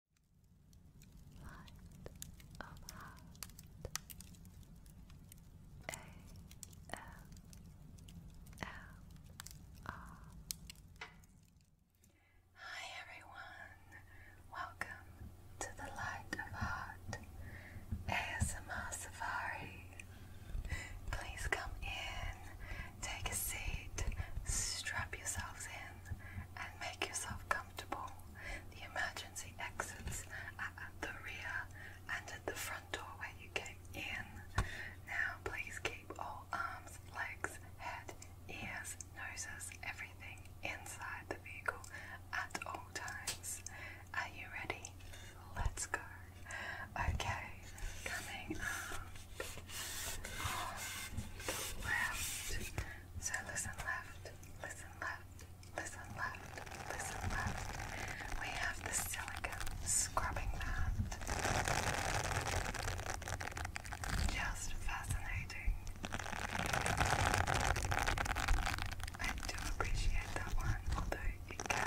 Light of Hi everyone, welcome to the Light of Heart ASMR Safari. Please come in, take a seat, strap yourselves in and make yourself comfortable. The emergency exits are at the rear and at the front door where you came in. Now, please keep all arms, legs, head, ears, noses, everything inside the vehicle at all times. Are you ready? Let's go. Okay, coming up. So listen left, listen left, listen left, listen left. We have the silicone scrubbing mat. Just fascinating. I do appreciate that one, although it can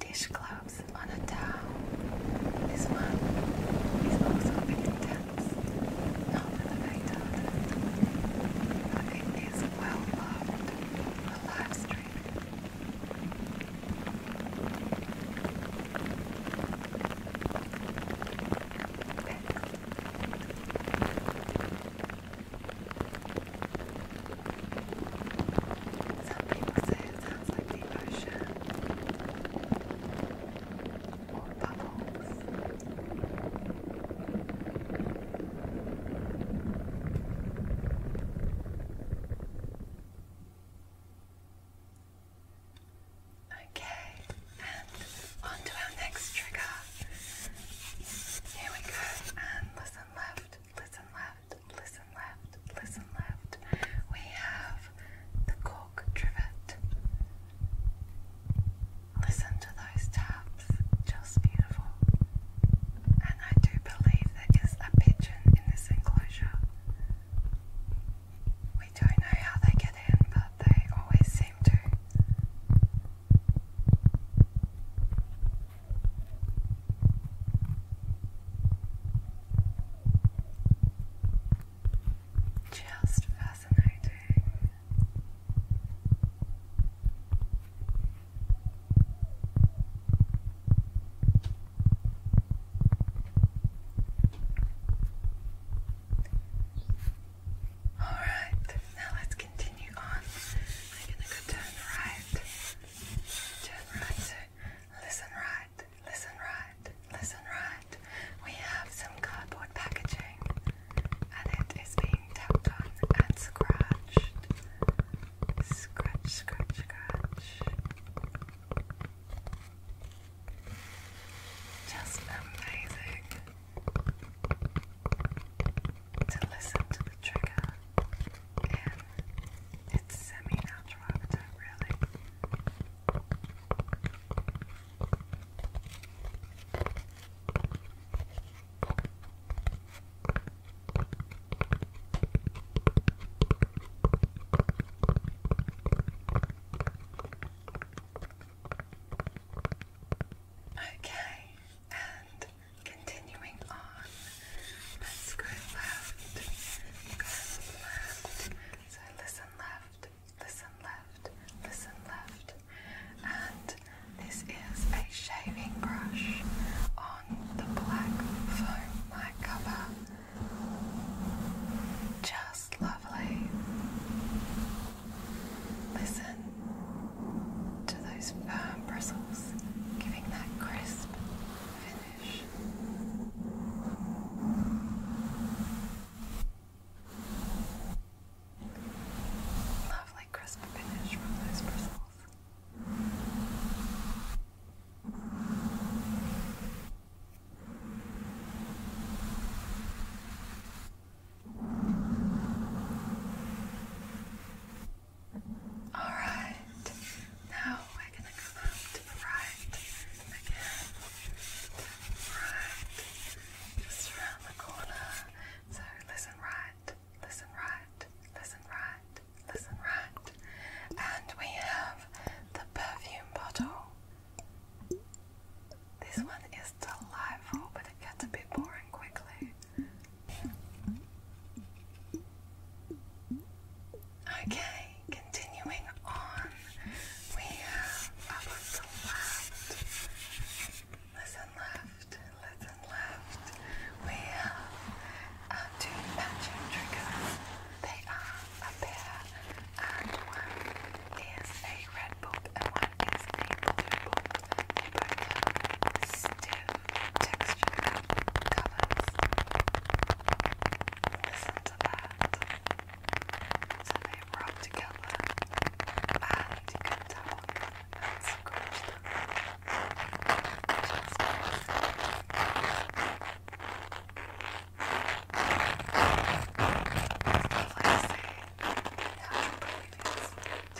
dishcloths on a towel. This one is also a bit not that I but it is well loved for live streaming. Some people say it sounds like the ocean or bubbles. Okay, and on our next trigger. Here we go, and listen left, listen left left, listen left, listen left. We have the cork trivet. Listen to those taps, just beautiful. And I do believe there is a pigeon in this enclosure. We don't know how they get in, but they always seem to. Just fascinating. All right, now let's continue on. I'm gonna go turn right. Turn right, listen right, listen right, listen right. We have some cardboard packaging and it is being tapped on and scratched. Scratch, scratch, scratch. Just amazing to listen to the trigger, and it's semi-natural really. Okay, and Continuing on, let's go left, go left. So listen left, listen left, listen left. And this is a shaving brush on the black foam mic cover. Just lovely. Listen to those firm bristles, giving that crisp finish. Lovely crisp finish from those bristles. Alright, now we're gonna come to the right again. Right, just around the corner. So listen right, listen right, listen right, listen right. And we have the perfume bottle. This one is delightful, but it gets a bit boring quickly. Okay, continuing on, we have up left, listen left, listen left, we have uh, two matching triggers. They are a pair, and one is a red book and one is a blue book. They both have stiff texture colors. Listen to that. they rub together and you can tell and scratch Alright,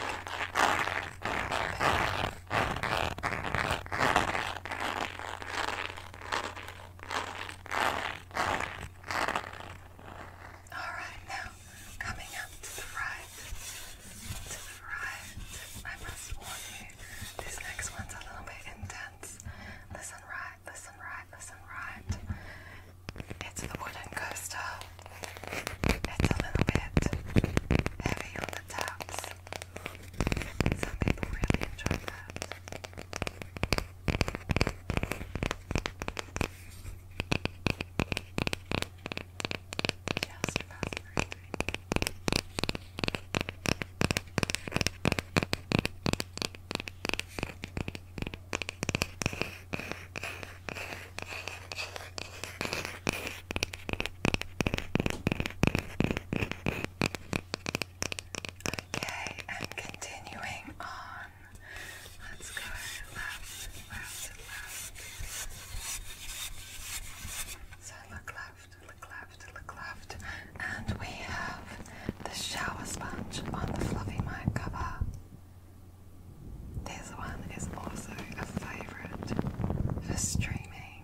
now coming up to the right. To the right. I must warn you, these next one's a little bit intense. Listen right, listen right, listen right. It's the wooden coaster. It's a little bit heavy on the tops. Some people really enjoy that. Just about Okay, and continuing on. Let's go left, left, left. So look left, look left, look left. And we have the shower sponge on the fluffy mic cover. This one is also a favourite for streaming.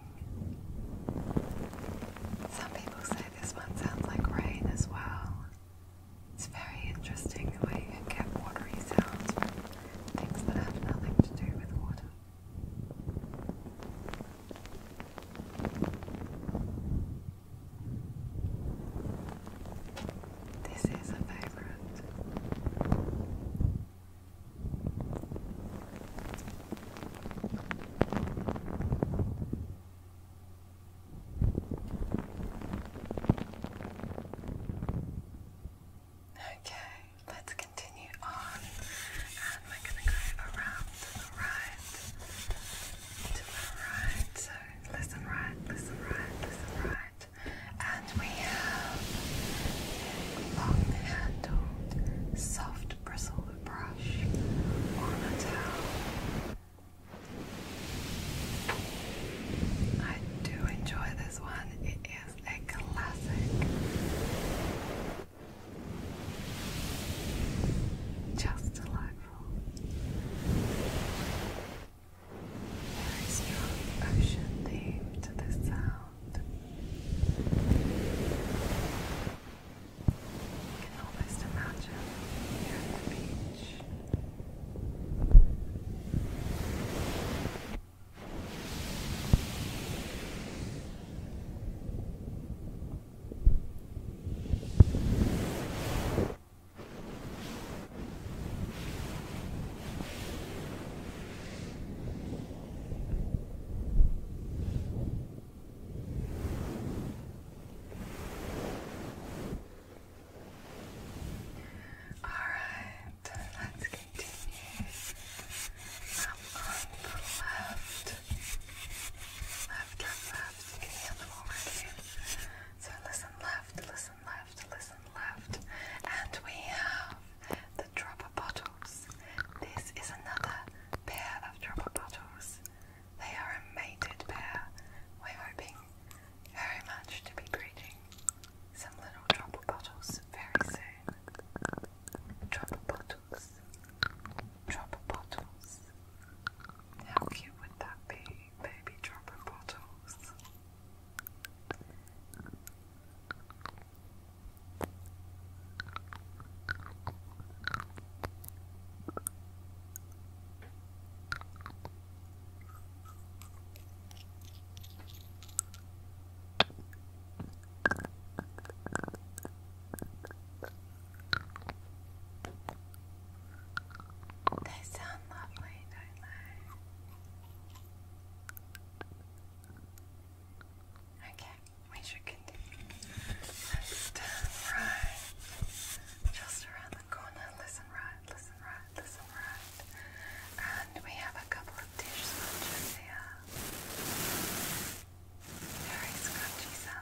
Some people say this one sounds like rain as well. It's very interesting the way you can get watery sounds from things that have nothing to do with water. This is a favorite. Okay, let's continue on, and we're going to go around to the right, to the right. So listen right, listen right, listen right and we have a long-handled, soft bristle brush I do enjoy this one. It is a classic. Just delightful. Very strong ocean theme to the sound. You can almost imagine you're at the beach. Alright, let's continue. i on the left. Left, left, left. You can hear them So listen left, listen listen left, listen left. And we have the dropper bottles. This is another pair of dropper bottles. They are a mated pair. We're hoping very much to be breeding some little dropper bottles very soon. Dropper bottles. Dropper bottles. How cute would that be? Baby dropper bottles. They sound lovely, don't they? Okay, we should continue. let right. Just around the corner. Listen right, listen right, listen right. And we have a couple of dish sponges here. Very scrunchy sound.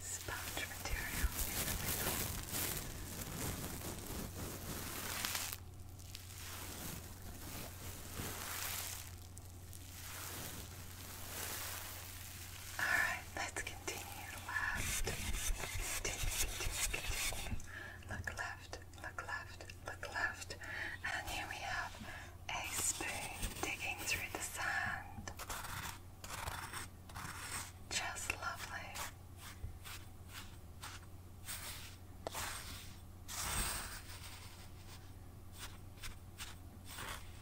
sponge material in the middle. Alright, let's continue. Left, Look left, look left, look left. And here we have a spoon digging through the sand. Just lovely.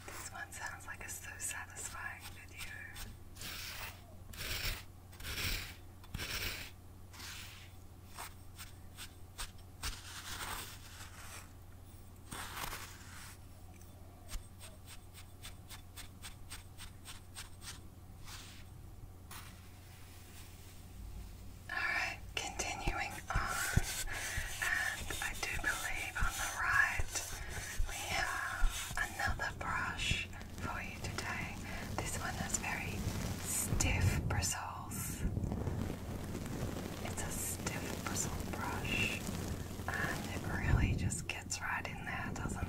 This one sounds like it's so satisfying video. Alright, continuing on, and I do believe on the right we have another brush for you today. This one has very stiff bristles. It's a stiff bristle brush, and it really just it's right in there, doesn't it?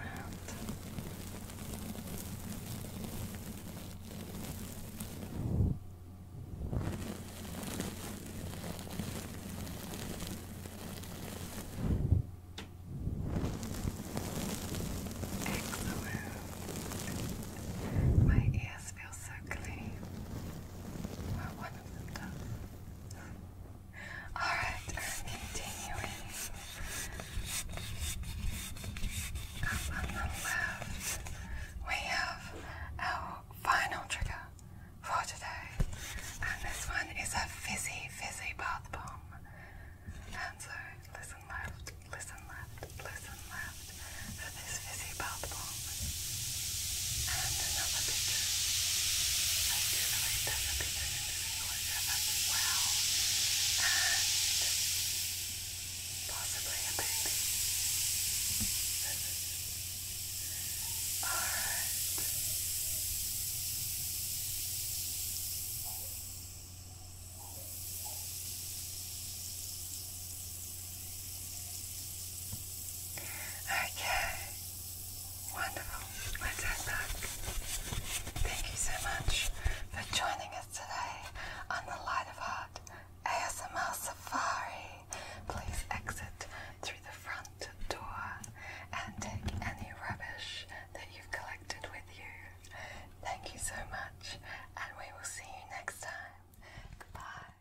Excellent. My ears feel so clean. Well, one of them does. Alright, i continuing. Up on the left, we have our final trigger for today. And this one is a fizzy, fizzy bath bomb. And so, listen left, listen left, listen left for this fizzy bath bomb. And another bitter. I do believe there's a bitter in this enclosure as well. And possibly a baby. Alright. Okay. Wonderful. Let's head back. Thank you so much for joining us today on the Light of Heart ASMR Safari. Please exit through the front door and take any rubbish that you've collected with you. Thank you so much, and we will see you next time. Goodbye.